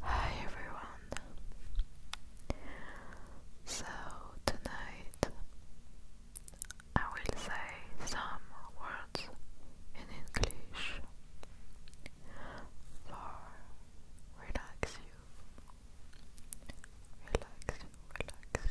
Hi everyone. So tonight I will say some words in English for relax you. Relax relax.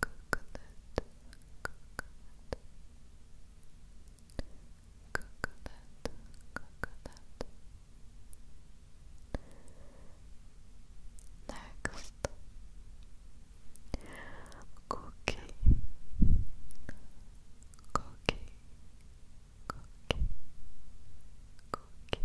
coconut, coconut, coconut, coconut. Next, cookie, cookie, cookie, cookie,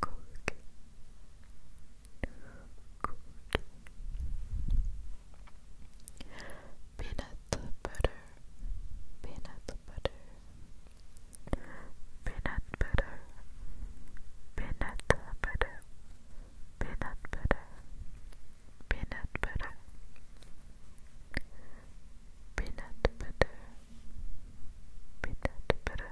Cork. Cork. Peanut butter, peanut butter, peanut butter, peanut butter, peanut butter, peanut butter, peanut butter, peanut butter,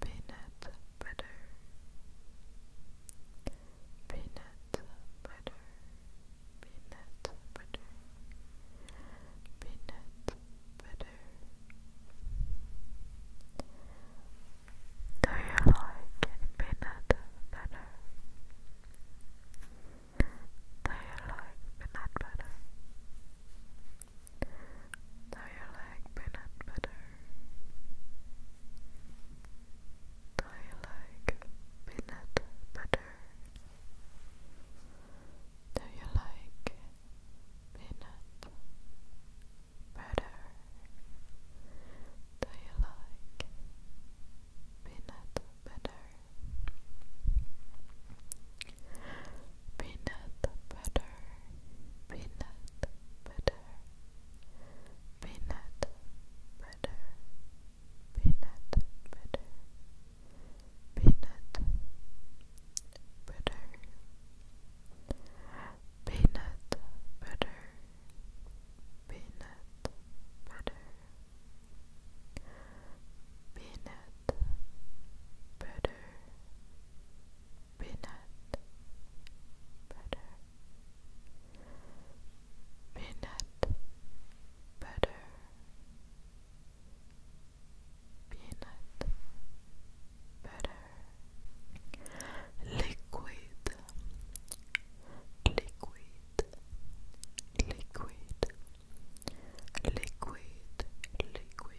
peanut butter, peanut butter, peanut butter, peanut butter. Do you like peanut butter? Do you like peanut butter? Now you like peanut butter. Now you like peanut butter. Now you like peanut butter. Do you like peanut butter? peanut butter, peanut butter, peanut butter, peanut butter, peanut butter, peanut butter, peanut butter, peanut butter, peanut butter, peanut butter, liquid, liquid, liquid. Liquid, liquid,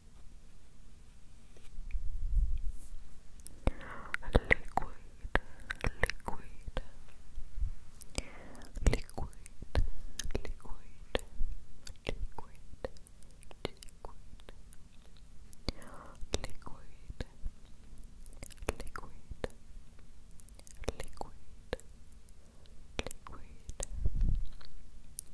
liquid, liquid, liquid, liquid, liquid. Liquid, liquid, liquid,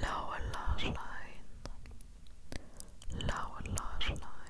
Lower lash line, lower lash line.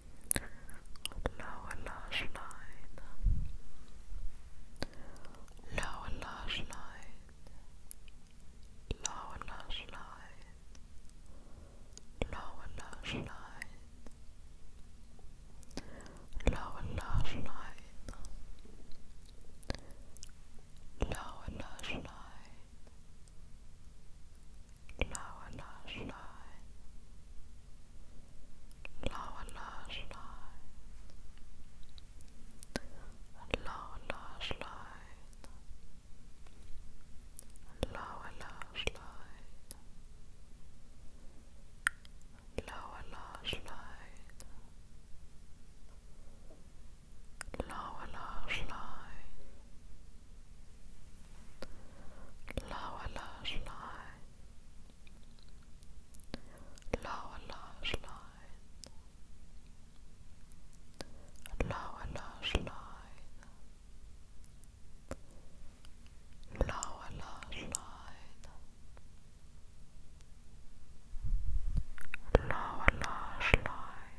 lower lash line, lower lash line, lower lash line, lower lash line, lower lash line, lower lash line lower lash line, lower lash line, lower lash line, lower lash line, lower lash line. Lower lash line, lower lash line, lower lash line, lower lash line, lower lash line, lower lash line. Lower lash line,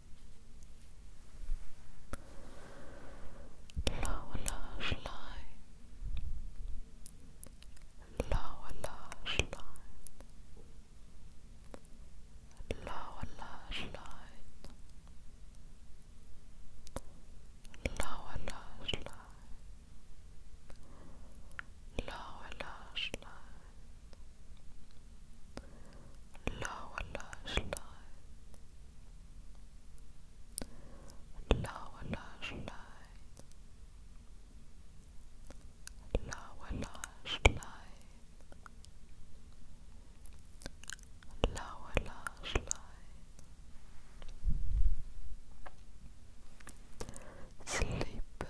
lower lash line, lower lash line, lower lash line. Lower lash line, lower lash line, لا ولا شلاي لا ولا شلاي لا ولا شلاي لا ولا شلاي sleep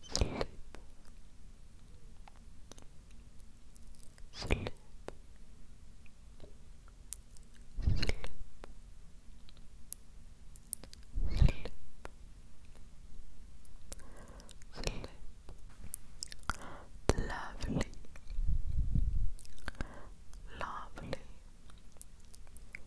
Sleep. Sleep. Sleep. Sleep. Sleep. Lovely. Lovely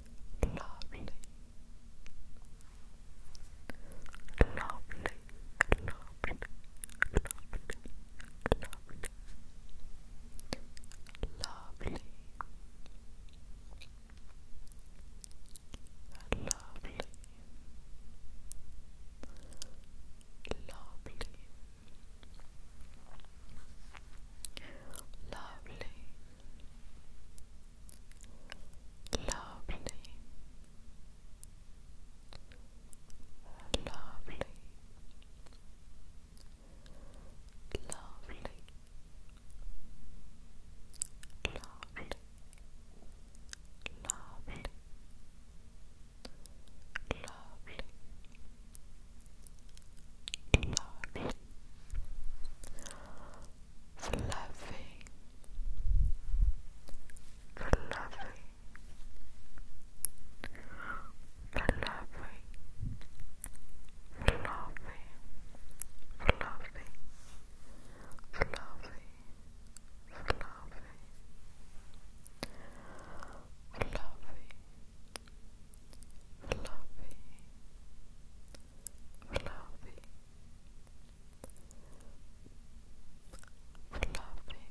lovely, lovely, lovely, lovely, lovely, lovely. Lovely, lovely, Lovely, lovely, lovely, lovely, lovely, lovely. Lovely, Lovely. Fluffy. Fluffy. Fluffy. Fluffy. Fluffy. Fluffy. Fluffy. Fluffy. Fluffy fluffy, fluffy, fluffy, fluffy, fluffy, fluffy, fluffy, fluffy, fluffy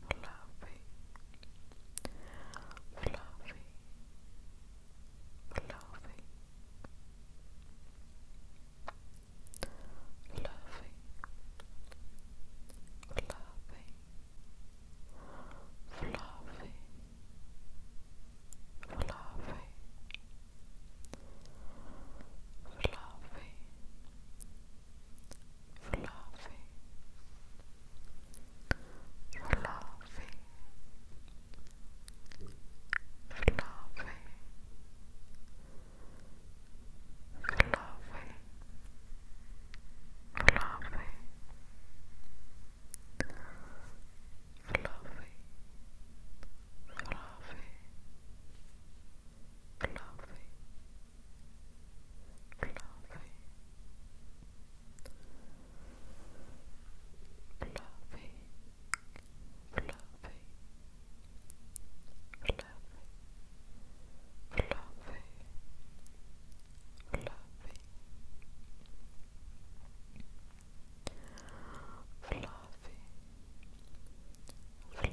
fluffy, fluffy, fluffy, fluffy, fluffy, fluffy, fluffy. Fluffy, fluffy, fluffy, fluffy, fluffy, fluffy. Fluffy, fluffy, Lovely. Lovely. Lovely. Lovely. Lovely. Lovely. Lovely. Fluffy, fluffy,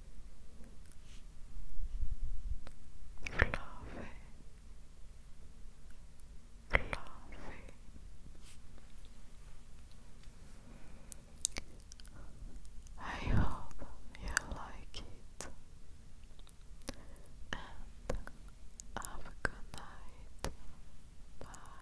fluffy, fluffy. I hope you like it, and have a good night. Bye.